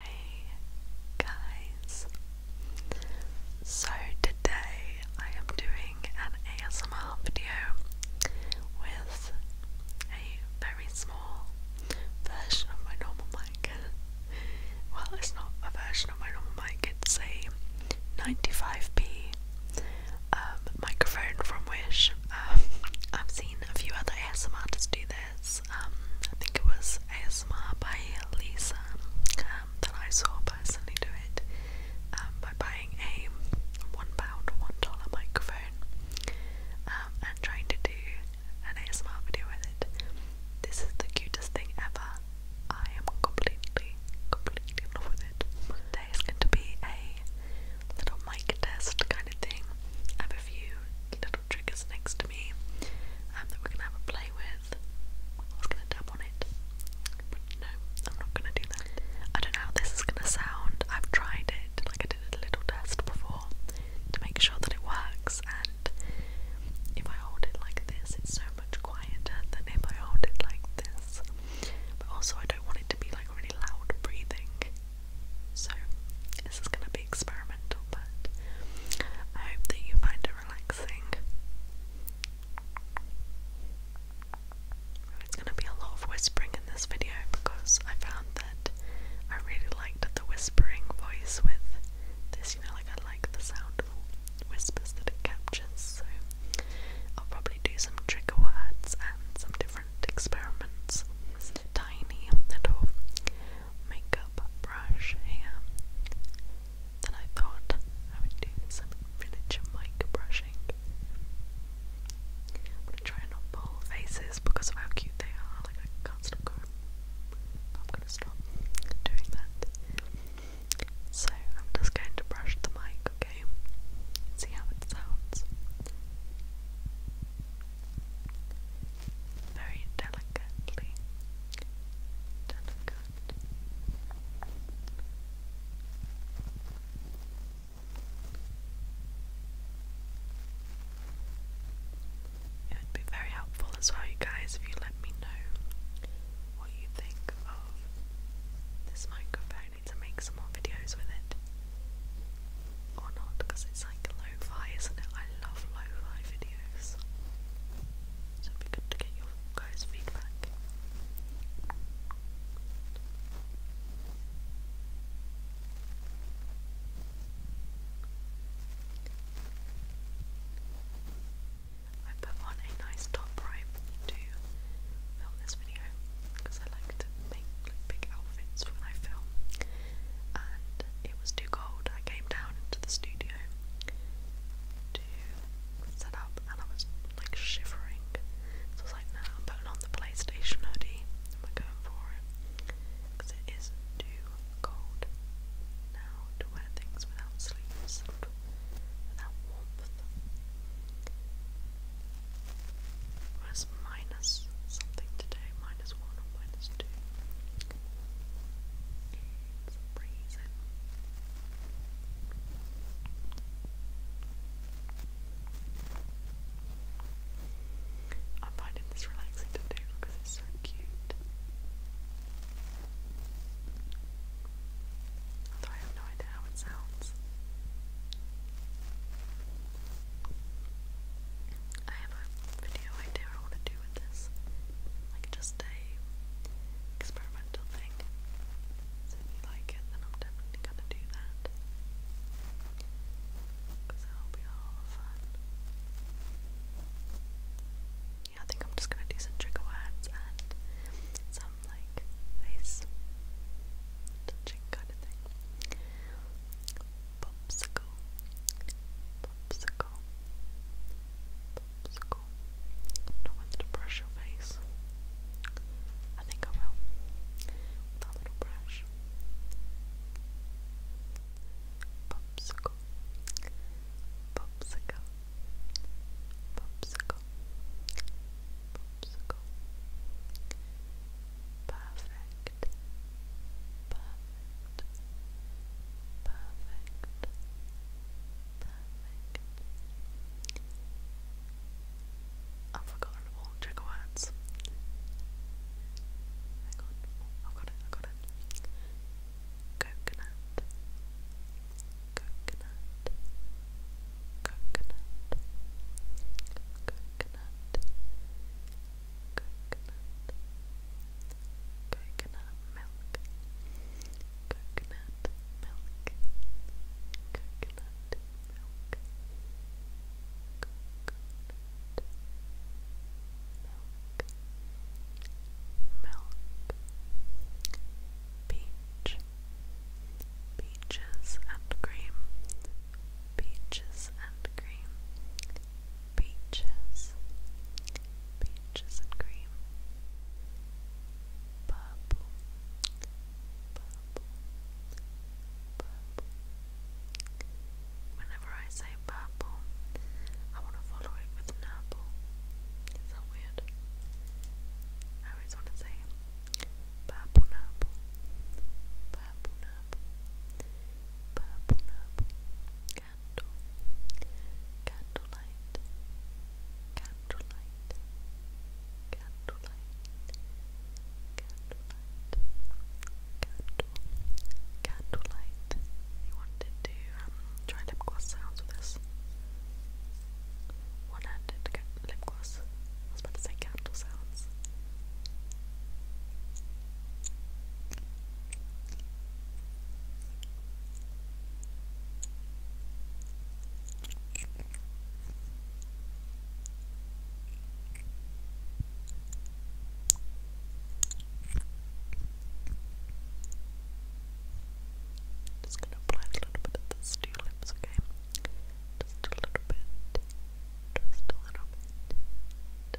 Hey guys! So today I am doing an ASMR video with a very small version of my normal mic. Well, it's not a version of my normal mic, it's a 95p um, microphone from Wish. Um, I've seen a few other ASMR do this. Um, I think it was ASMR by Lisa um, that I saw personally do it um, by buying a one pound, one dollar microphone and trying to do an ASMR video with it. This is the cutest thing ever. I am completely, completely in love with it. Today is going to be a little mic test kind of thing. have a few little triggers next to me um, that we're going to have a play with. I was going to tap on it, no, I'm not going to do that. I don't know how this is going to sound. I've tried it, like I did a little test before to make sure that it works, and if I hold it like this, it's so much quieter than if I hold it like this. But also, I don't want it to be like really loud breathing. So, this is going to be experimental, but I hope that you find it relaxing. It's going to be a lot of whispering in this video because I found that I really liked the whispering voice with this, you know, like I like the sound of whispers that it captures, so I'll probably do some trigger words and some different experiments. Tiny little makeup brush here. Then I thought I would do some miniature mic brushing. I'm gonna try not pull faces because of how cute they are. Like I can't stop going. I'm gonna stop doing that. So I'm just going to brush the mic, okay? See how it sounds very delicately. Delicate. It would be very helpful as well, you guys, if you let me know what you think of this microphone. need to make some more videos with it. Or not, because it's like lo-fi, isn't it? I love lo-fi videos. So it'd be good to get your guys' feedback. I put on a nice top right to film this video because I like to make like, big outfits when I film and was too cold, I came down into the studio to set up and I was like shivering. So I was like, no, nah, on the PlayStation hoodie we're going for it. Because it is too cold now to wear things without sleeves and without warmth. Well, it's minus something today, minus one or minus two some reason. I'm finding this relaxing to do because it's so cute. Although I have no idea how it sounds. I have a video idea I want to do with this. Like just a experimental thing. So if you like it, then I'm definitely gonna do that. Because that'll be all fun. Yeah, I think I'm just gonna do some trigger words and some like face touching kind of thing popsicle, popsicle, popsicle. I'm not wanting to brush your face. I think I will. With that little brush. Popsicle, popsicle, popsicle, popsicle. Perfect perfect, perfect, perfect, I've forgotten all trigger words. Hang on, I've got it, I've got it. coconut, coconut, coconut. Coconut, coconut, coconut milk, coconut milk, coconut milk, coconut milk, milk, peach, peaches and cream, peaches and cream. Beaches, peaches and cream, purple, purple, purple. Whenever I say purple, I want to follow it with purple. Is weird? I always want to say purple, purple, purple, purple, purple, purple candle, candlelight, candlelight, candlelight, candlelight, candle, candlelight. You wanted to um, try lip gloss sounds with this. One-handed lip gloss. I was about to say candle sounds. Just gonna apply a little bit to your lips, okay? Just a little bit. Just a little bit.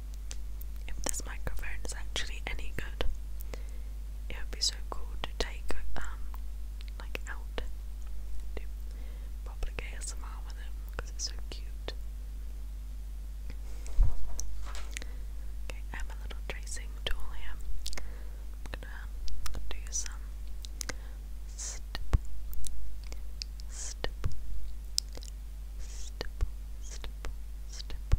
if this microphone is actually any good. It would be so cool to take um like out and do public ASMR with it because it's so cute. Okay, I have a little tracing tool here. I'm gonna do some stipple, stipple, stipple, stipple, stipple,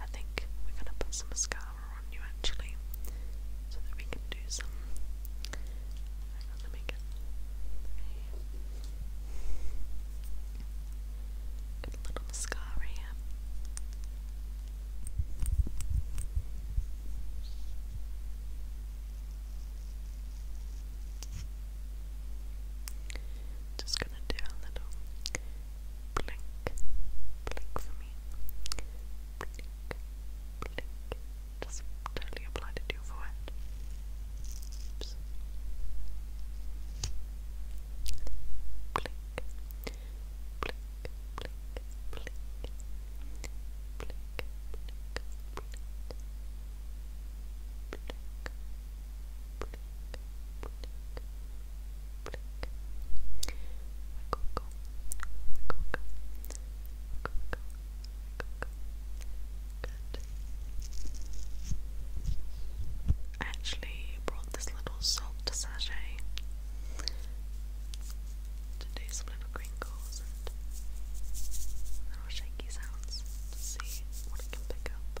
I think we're gonna put some mascara on you actually, so that we can do some. little mascara just gonna do a little blink, blink for me. Blink, blink. Just totally apply to your forehead. Oops. Blink, blink, blink, blink, blink, blink, blink, blink, blink. I actually brought this little salt sachet to do some little crinkles and little shaky sounds to see what it can pick up.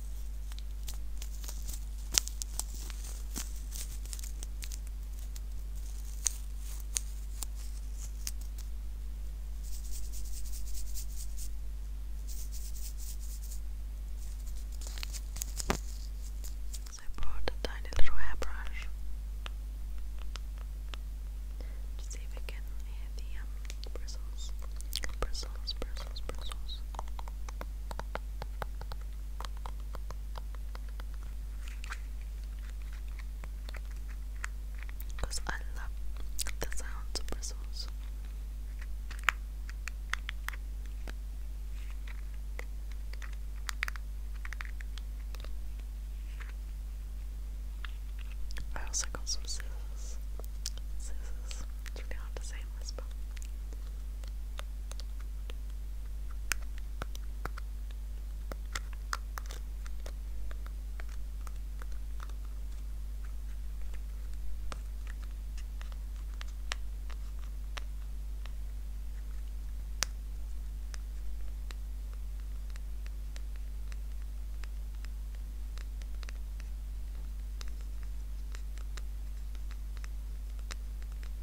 So I brought a tiny little hairbrush to see if I can hear the um, bristles, bristles, bristles, bristles because I love the sounds of bristles. I also got some scissors. Scissors. That's really hard to say and whisper. Good.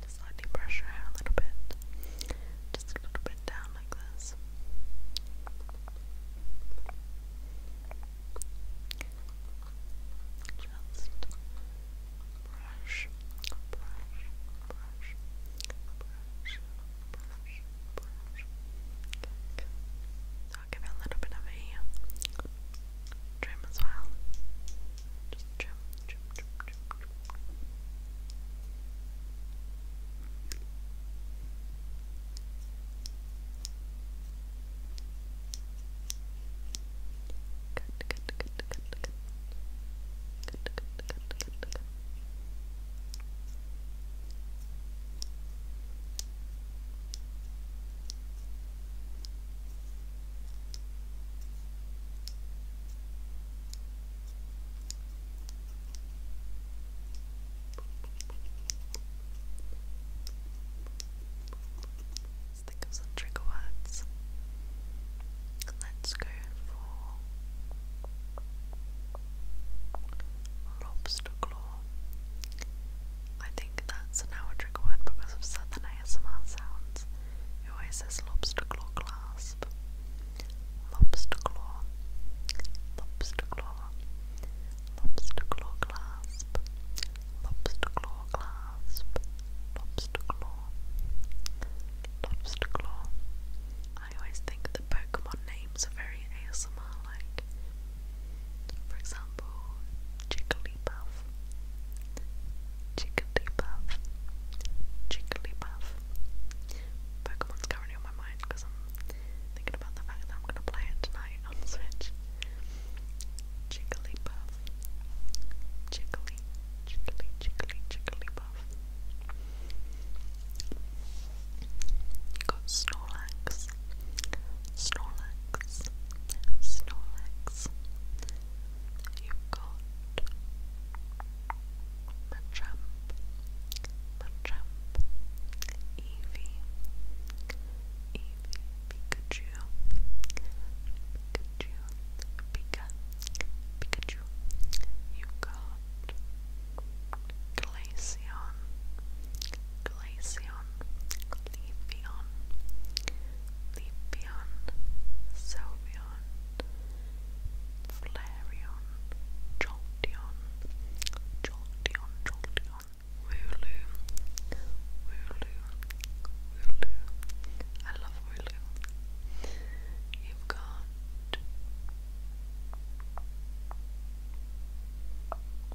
Just lightly brush your hair a little bit. Just a little bit down like this. Just brush, brush, brush, brush, brush, brush. Okay. I'll give a little bit of a trim as well. Just trim, trim, trim, trim, trim. good, good, good, good. Good, good, good, good, good. good. Good, Let's think of some trigger words. Let's go for lobster claw. I think that's now trigger word because of southern ASMR sounds. It always says lobster claw clasp. Lobster claw. Lobster claw. Lobster claw clasp. Lobster claw clasp. Lobster claw. Lobster claw. I always think the Pokemon names are very ASMR like. For example, Jigglypuff. Jigglypuff. Jigglypuff. Pokemon's currently on my mind because I'm thinking about the fact that I'm going to play it tonight on Switch. Jigglypuff. Jiggly, jiggly, jiggly, jigglypuff. Got Snorlax. Snorlax. Snorlax you got Machamp, Machamp, Eevee, Eevee, Pikachu, Pikachu, Pikachu. you got Glaceon, Glaceon, Leafeon, Leafeon, Sylveon, Flareon, Jolteon, Jolteon, Jolteon, Wooloo, Wooloo, Wooloo. I love Wooloo. you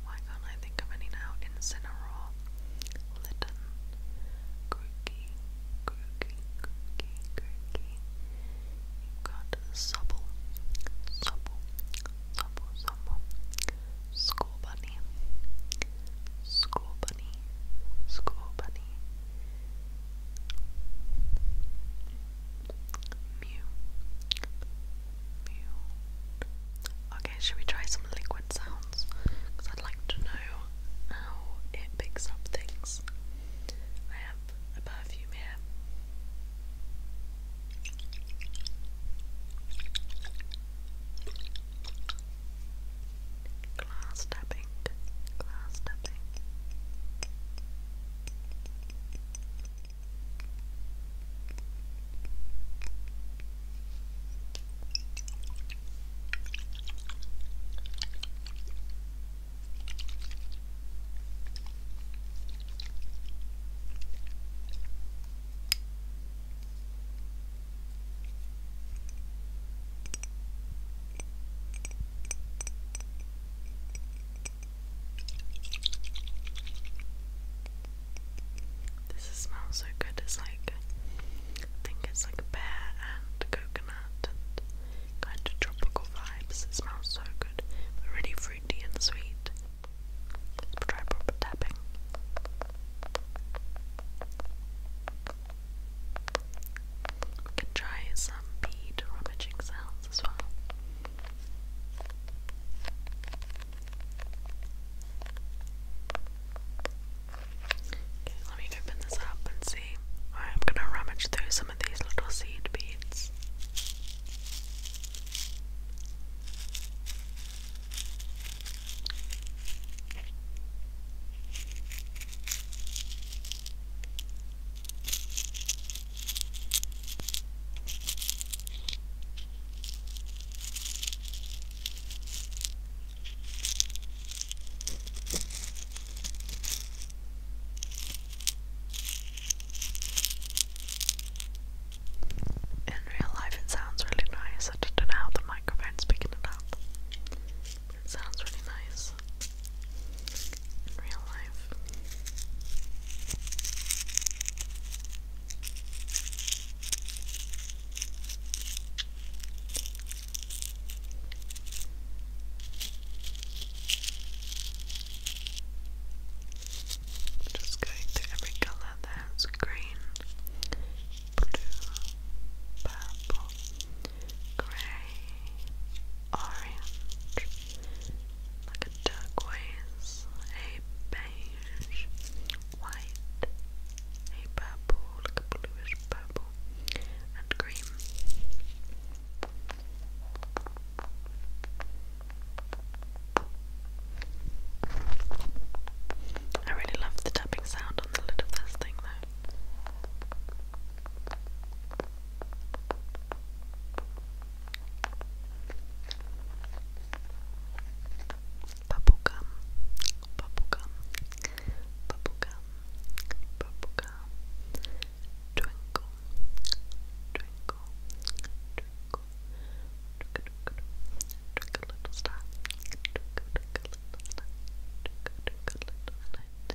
Why can't I think of any now? Incineroar, Litton, Crookie, Crookie, Crookie, Crookie. You've got Supple, Supple, Supple, Supple. School Bunny, School Bunny, School Bunny. Mew, Mew. I okay, should we try some liquid sounds? Because I'd like to know how it picks up things. I have a perfume here. Glass tapping, glass tapping. This smells so good, it's like I think it's like pear and coconut kind of tropical vibes. It smells so good, really fruity and sweet. try proper can try some bead rummaging sounds as well. Okay, let me open this up and see. I'm gonna rummage through some of these little seed beads. In real life, it sounds really nice. I don't know how the microphone's picking it up. It sounds really nice in real life. Just going through every colour there's green, blue, purple, grey, orange, like a turquoise, a beige, white, a purple, like a bluish purple, and cream. I really love the tapping sound on the lid of this thing though. Bubble gum bubblegum, bubblegum, bubblegum, twinkle, twinkle, twinkle, twinkle, twinkle little star, twinkle, twinkle little star, twinkle, twinkle little light,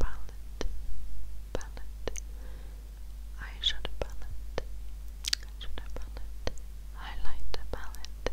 palette, palette, eyeshadow palette, eyeshadow palette, highlighter palette,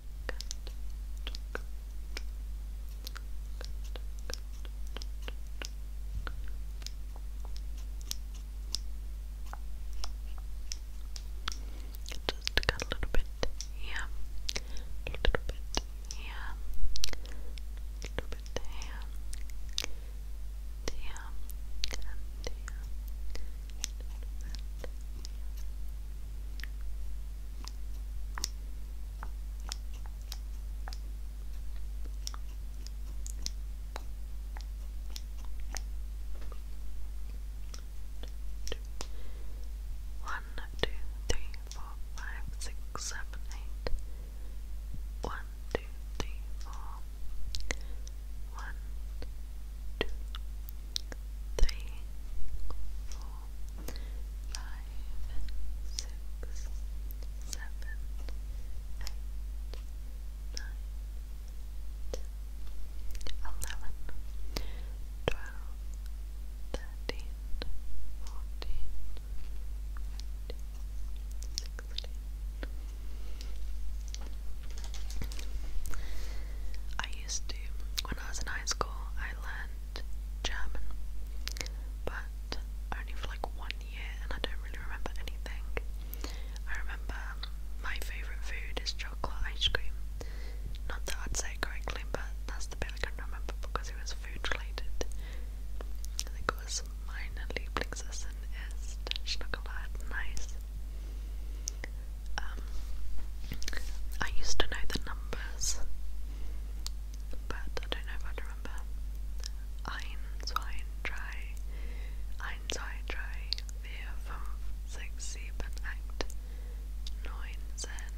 Just got a little bit here, a little bit here, a little bit here, and here, and a little bit here. One, two, three, four, five, six, seven, eight. One, two, three, four. One, two, three, four, five, six, seven, eight, nine, ten, eleven, twelve, thirteen, fourteen, fifteen, sixteen. I used to when I was in high school I learned German, but only for like one year, and I don't really remember anything. I remember my favourite food is chocolate ice cream. Not that I'd say correctly, but that's the bit I can remember because it was food related. I think it meine Lieblingsessen ist Schokolade nice. Um, I used to know the numbers, but I don't know if i remember. Eins, ein, drei, eins, zwei, drei, vier, fünf, sechs, sieben, acht, nine, ten.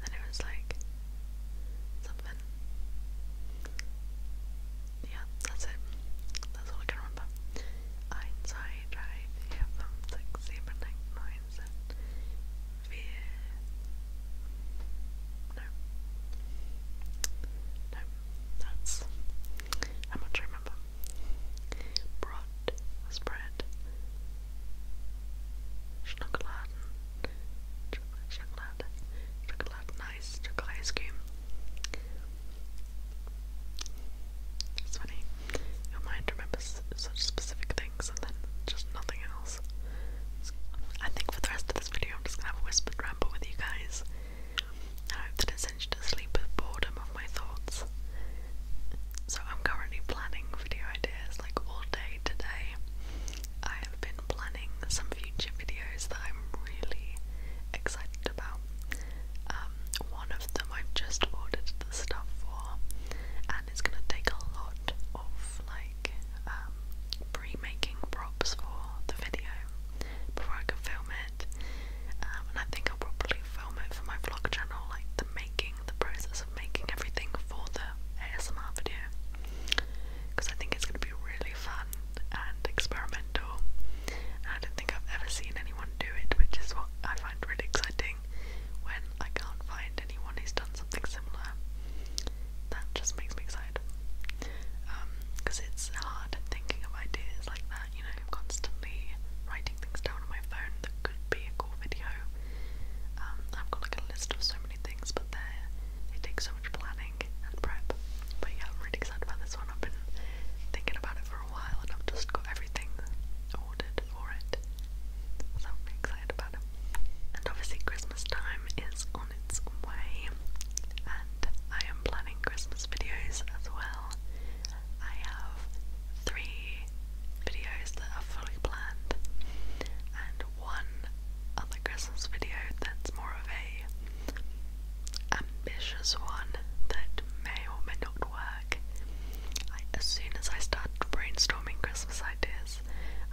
Then it was like something. Yeah, that's it. That's all I can remember. Eins, zwei, right, right, no, no, that's, how much I remember, Brot, spread, Schnuckeladen, Schokolade, Schokolade, nice, chocolate ice cream, it's funny. Your mind remembers such specific things and then just nothing else. I think for the rest of this video, I'm just gonna have a whispered ramble with you guys. I hope that it sends you boredom of my thoughts. So, I'm currently planning video ideas like all day today. I have been planning some future videos that I'm really excited about. Um, one of them I've just ordered the stuff for, and it's gonna take a lot of like um, pre-making props for the video before I can film it. Um, and I think I'll probably film it for my vlog channel, like the making, the process of making everything for the ASMR video, because I think it's gonna be really fun and experimental. I don't think I've ever seen any do it, which is what I find really exciting when I can't find anyone who's done something similar. That just makes me excited. Because um, it's hard thinking of ideas like that, you know, I'm constantly writing things down on my phone that could be a cool video. Um, I've got like a list of so many things, but they take so much planning and prep. But yeah, really excited about this one. I've been thinking about it for a while and I've just got everything ordered for it. So I'm really excited about it. And obviously Christmas time is on its way and I am planning Christmas videos as well. I have three videos that are fully planned and one other Christmas video that's more of a ambitious one that may or may not as soon as I started brainstorming Christmas ideas,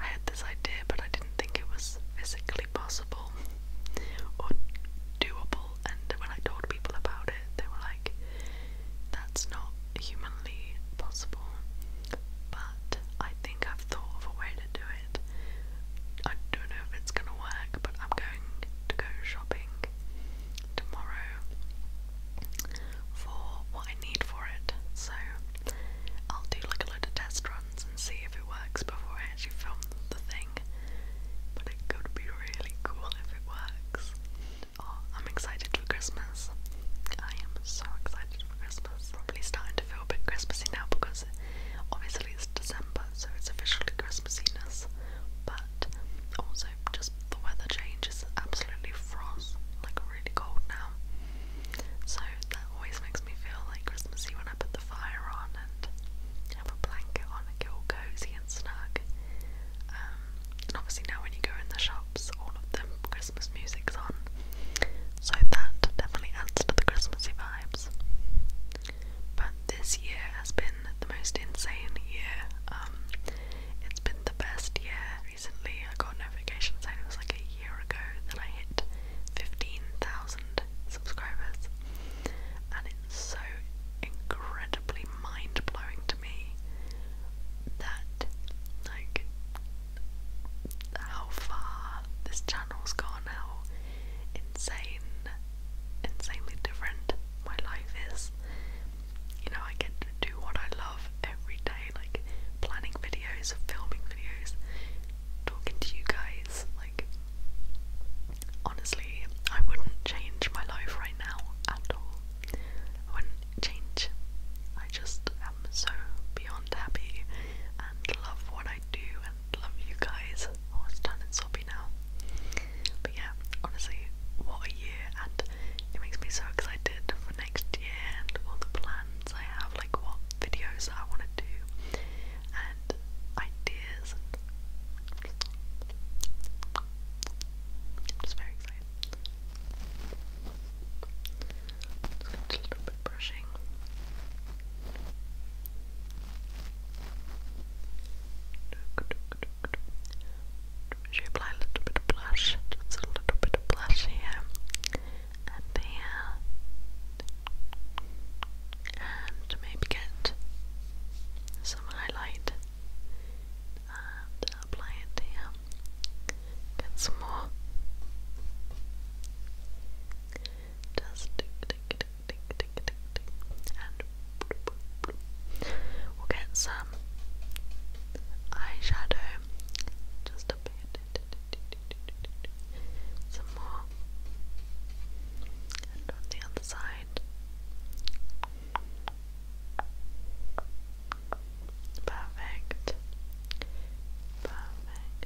I had this idea, but I didn't think it was physically possible or doable. And when I told people about it, they were like, that's not humanly possible. But I think I've thought of a way to do it. I don't know if it's gonna work, but I'm going to go shopping tomorrow for what I need for it. So I'll do like a load of test runs and see if it works before I actually film the thing. But it could be really cool if it works. Oh, I'm excited for Christmas. I am so excited for Christmas. Probably starting to feel a bit Christmassy now because obviously it's December, so it's officially Christmassiness. But that. Also, just the weather change is absolutely frost, like really cold now. So that always makes me feel like Christmassy when I put the fire on and have a blanket on and get all cozy and snug. Um, and obviously now when you go in the shops, all of them Christmas music's on. So that definitely adds to the Christmassy vibes. But this year has been the most insane year. Um, it's been the best year recently. I got notifications saying it was like a year ago that I hit 15,000 subscribers, and it's so incredibly mind blowing to me that, like, how far this channel's gone, now. insane, insanely different my life is. You know, I get to do what I love every day, like planning videos, filming videos, talking to you guys. Like, honestly, I wouldn't change my life right now at all. I wouldn't change. I just am so beyond happy and love what I do and love you guys. Oh, it's done and sobbing happy now. But yeah, honestly, what a year, and it makes me so excited for next year and all the plans I have, like what videos I want to do, and ideas. I'm just very excited. Just a little bit brushing. Should apply a little bit of blush? Just a little bit of blush here and there. And maybe get some highlight and apply it here. Get some more. Just tick, tick, tick, we'll get some eyeshadow. Just a bit. Some more. And on the other side. Perfect. Perfect. Perfect.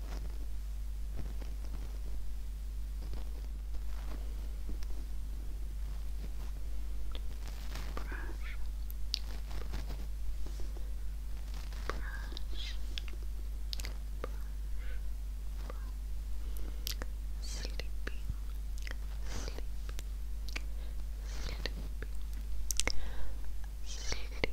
brush, brush, brush, sleepy, sleepy, sleepy, sleep, sleep,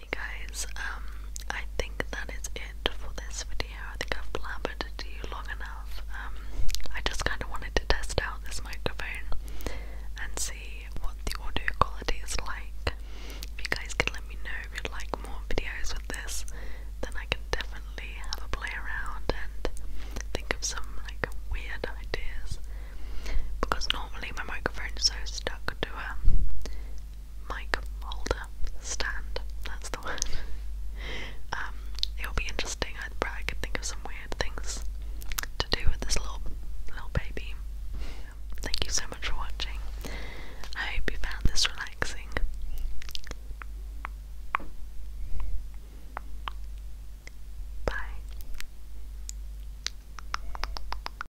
you guys. Um, I think that is it for this video. I think I've blabbered to you long enough. Um, I just kind of wanted to test out this microphone and see what the audio quality is like. If you guys can let me know if you'd like more videos with this, then I can definitely have a play around and think of some like weird ideas. Because normally my microphone's so stuck to her. Um, mic holder stand. That's the word. Um, it'll be interesting. I probably think of some weird things to do with this little little baby. Thank you so much for watching. I hope you found this relaxing. Bye.